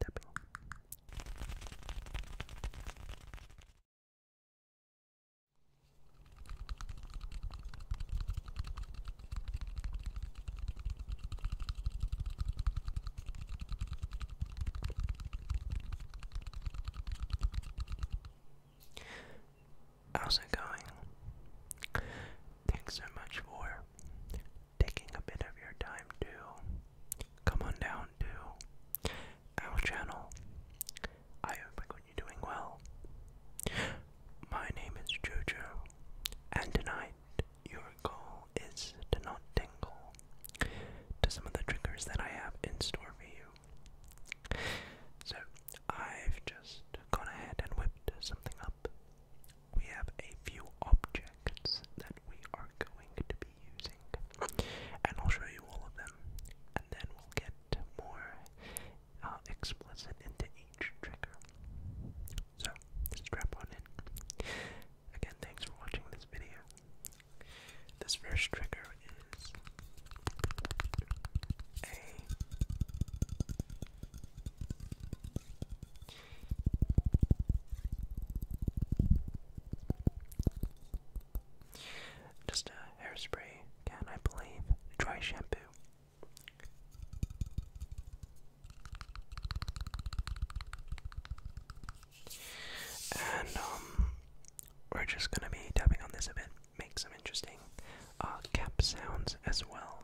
tapping. How's it going? Thanks so much for taking a bit of your time to come on down to our channel. I hope you're doing well. My name is Jojo, and tonight your goal is to not tingle to some of the triggers that I have in store for you. So I've just gone ahead and whipped something up we have a few objects that we are going to be using, and I'll show you all of them, and then we'll get more uh, explicit into each trigger. So, strap on in. Again, thanks for watching this video. This first trigger is a just a hairspray can, I believe. Dry shampoo. And um we're just gonna be tapping on this a bit, make some interesting uh cap sounds as well.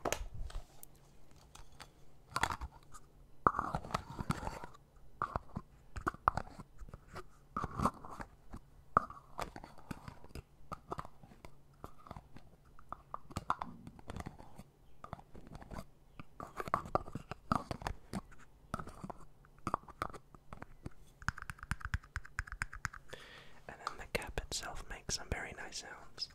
And then the cap itself makes some very nice sounds.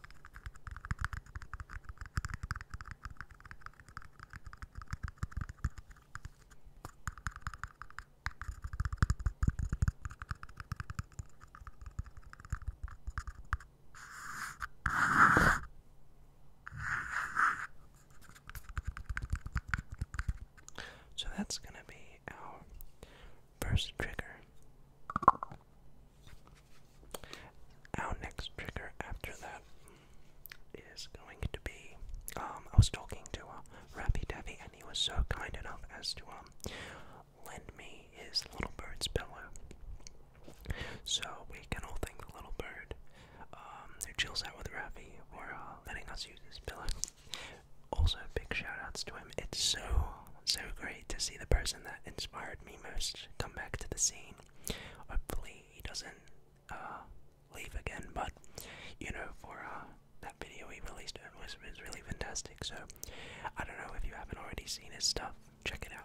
So that's going to be our first trigger. Our next trigger after that is going to be. Um, I was talking to uh, Rappy Davy, and he was so kind enough as to um, lend me his little bird's pillow. So we can all thank the little bird They're um, chills out with Rappy for uh, letting us use his pillow. Also, big shout outs to him. It's so, so great to see the person that inspired me most come back to the scene. Hopefully he doesn't uh, leave again, but you know, for uh, that video he released, it was really fantastic. So I don't know if you haven't already seen his stuff, check it out.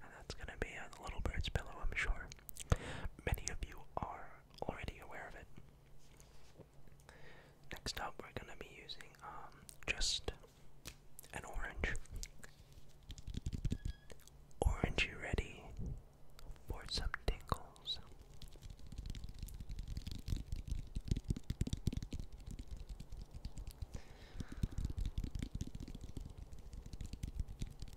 And that's going to be on the Little Bird's Pillow, I'm sure. Many of you are already aware of it. Next up, we're going to be using um, just an orange. Orange, ready for some tingles?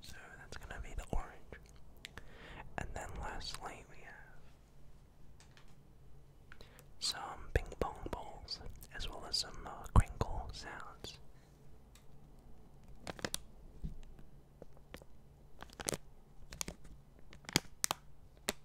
So that's gonna be the orange. And then lastly, we have some ping pong balls, as well as some uh, crinkle sounds.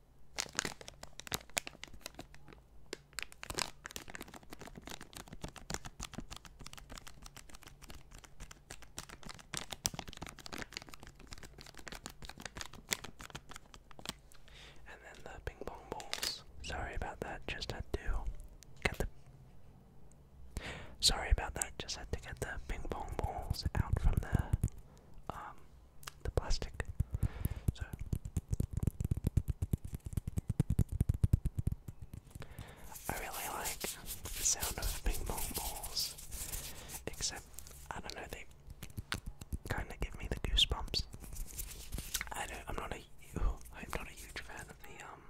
And then the ping pong balls. Sorry about that, just had to get the. Sorry about that, just had to get the ping pong balls out from the um, the plastic. So I really like the sound of ping pong balls, except I don't know they kind of give me the goosebumps. I don't. I'm not a. am not a huge fan of the um.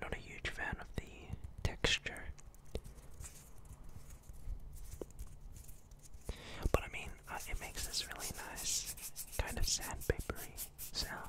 Not a huge fan of the texture but I mean, uh, it makes this really nice kind of sandpapery sound.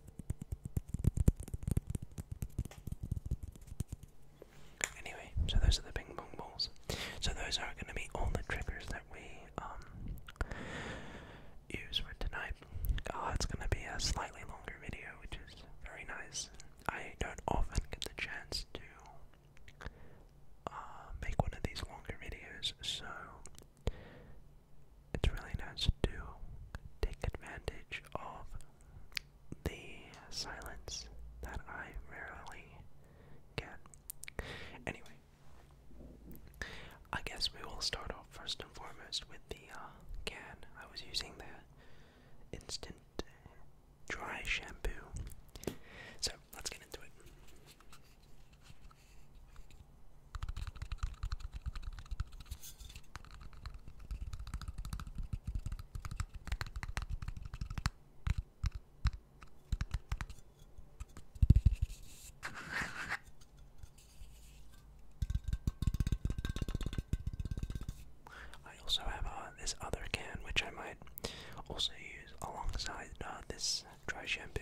Anyway, so those are the ping pong balls. So those are going to be all the triggers that we um, use for tonight. Uh, it's going to be a slightly longer video, which is very nice. I don't often get the chance to uh, make one of these longer videos, so it's really nice to take advantage of the silence that I rarely get. Anyway, I guess we will start off first and foremost with the uh, can. I was using the instant dry shampoo. So let's get into it. I also have uh, this other can which I might also use alongside uh, this dry shampoo.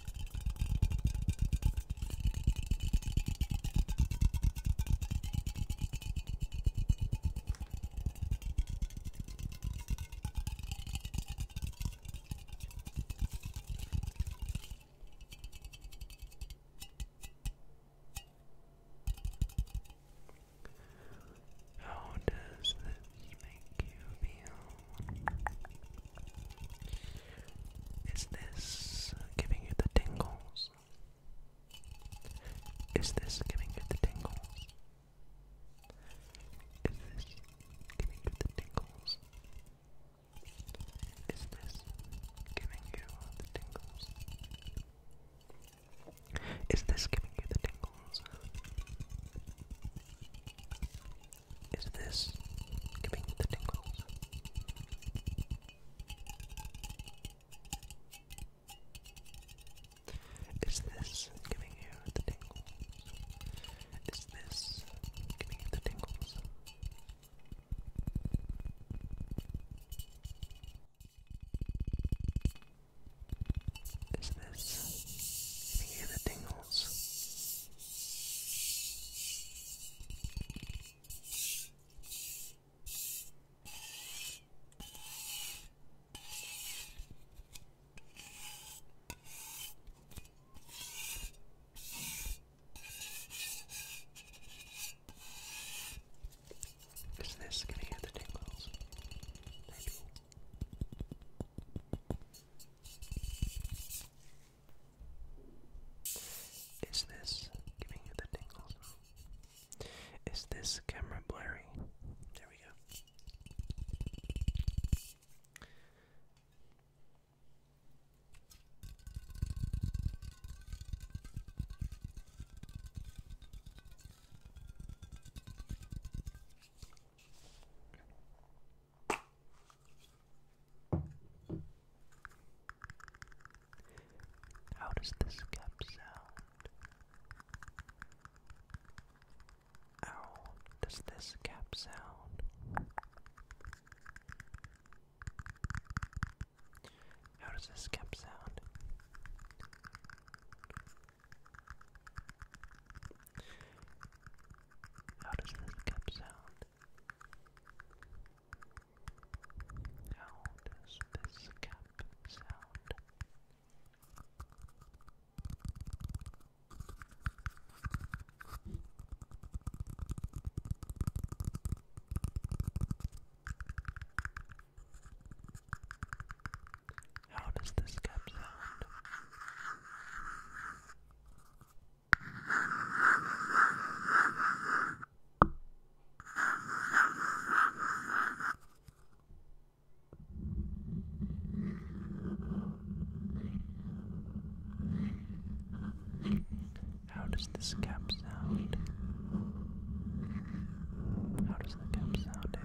How does this make you feel? Is this giving you the tingles? Is this giving you the tingles? Is this giving you the tingles? Is this giving you the tingles? Is this giving you the tingles? Is this giving you the tingles? Is this giving you the tingles? Is this giving you the tingles? Is this giving you the tingles? Is this gonna hear the tingles? Maybe. Is this giving you the tingles? Is this camera blurry? There we go. How does this cap sound? How does this cap sound? How does this cap sound? How does this cap sound? How does this cap sound? How does this cap sound? How does this cap sound? How does the cap sound? Eh?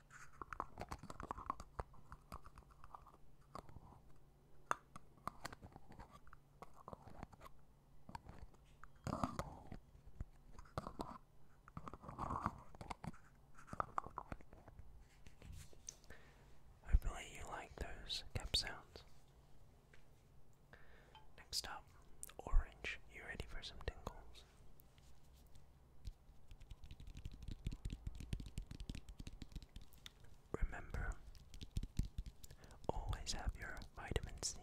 Hopefully, you like those cap sounds. Next up, Orange, you ready for some tingles? Remember, always have your vitamin C.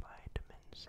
Vitamin C.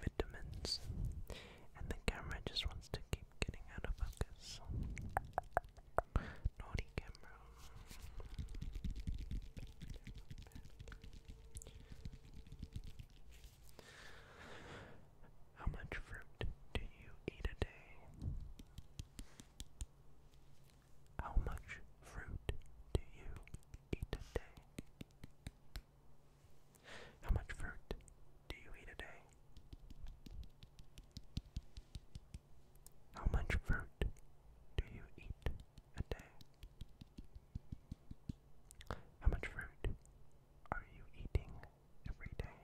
vitamins, and the camera just wants to keep getting out of focus. Naughty camera. How much fruit do you eat a day? How much fruit do you eat a day? How much fruit do you eat a day? How much fruit do you eat a day? How much fruit are you eating every day?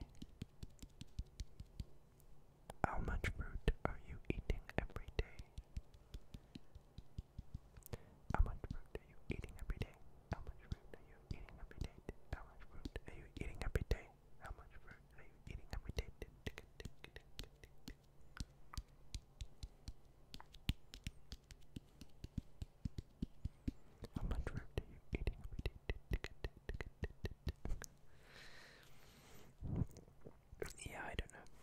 How much fruit are you eating every day? How much fruit are you eating every day? How much fruit are you eating every day? How much fruit are you eating every day? How much fruit are you eating every day? How much fruit are you eating every day? yeah, I don't know.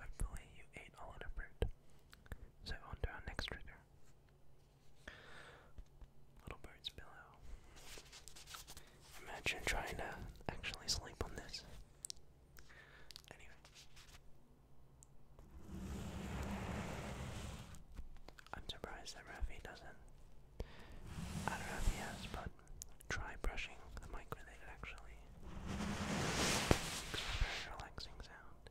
Hopefully, you ate a lot of fruit. So, on our next trigger. Little bird's pillow. Imagine trying to actually sleep on this. Anyway, I'm surprised that Rafi doesn't. I don't know if he has, but try brushing the mic with actually. It's a very relaxing sound.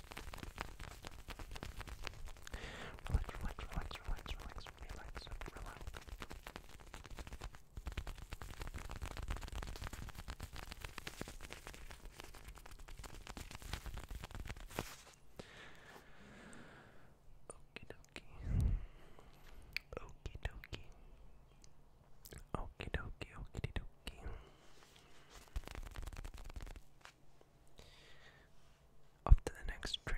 Relax, relax, relax, relax, relax, relax, relax. Okie dokie. Okie dokie. Okie dokie, okie dokie. Up to the next trigger.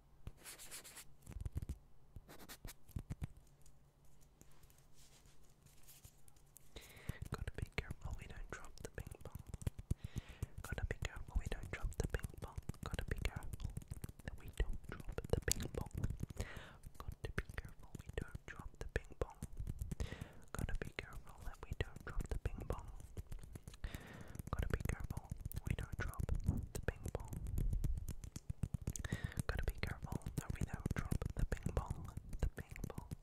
Gotta be careful we don't drop the ping pong. Gotta be careful we don't drop the ping pong. Gotta be careful that we don't drop the ping pong. Gotta be careful we don't drop the ping pong. Gotta be careful that we don't drop the ping pong. Gotta be careful we don't drop the ping pong. Gotta be careful that we don't drop the ping pong, the ping pong.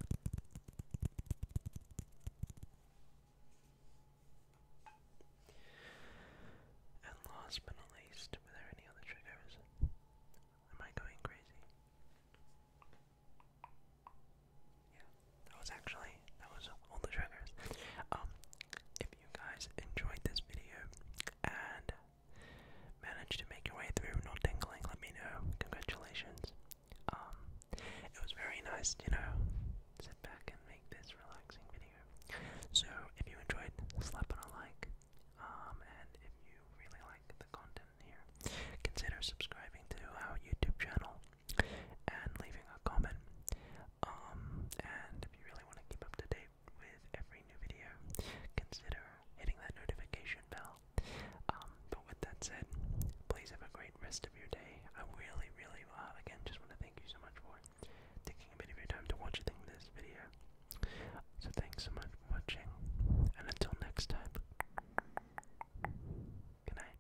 And last but not least, were there any other triggers? Am I going crazy? Yeah, that was actually that was all the triggers. Um, if you guys enjoyed this video and managed to make your way through, not tingling, let me know. Congratulations. Um, it was very nice, you know, sit back and make this relaxing video. So if you enjoyed, slap on a like. Um, and if you really like the content here, consider subscribing to our YouTube channel and leaving a comment. Um, and if you really want to keep up to date with every new video, consider hitting that notification bell. Um, but with that said, please have a great rest of your day. I really, really, uh, again, just want to thank you so much for taking a bit of your time to watch this video. So thanks so much for watching, and until next time, good night.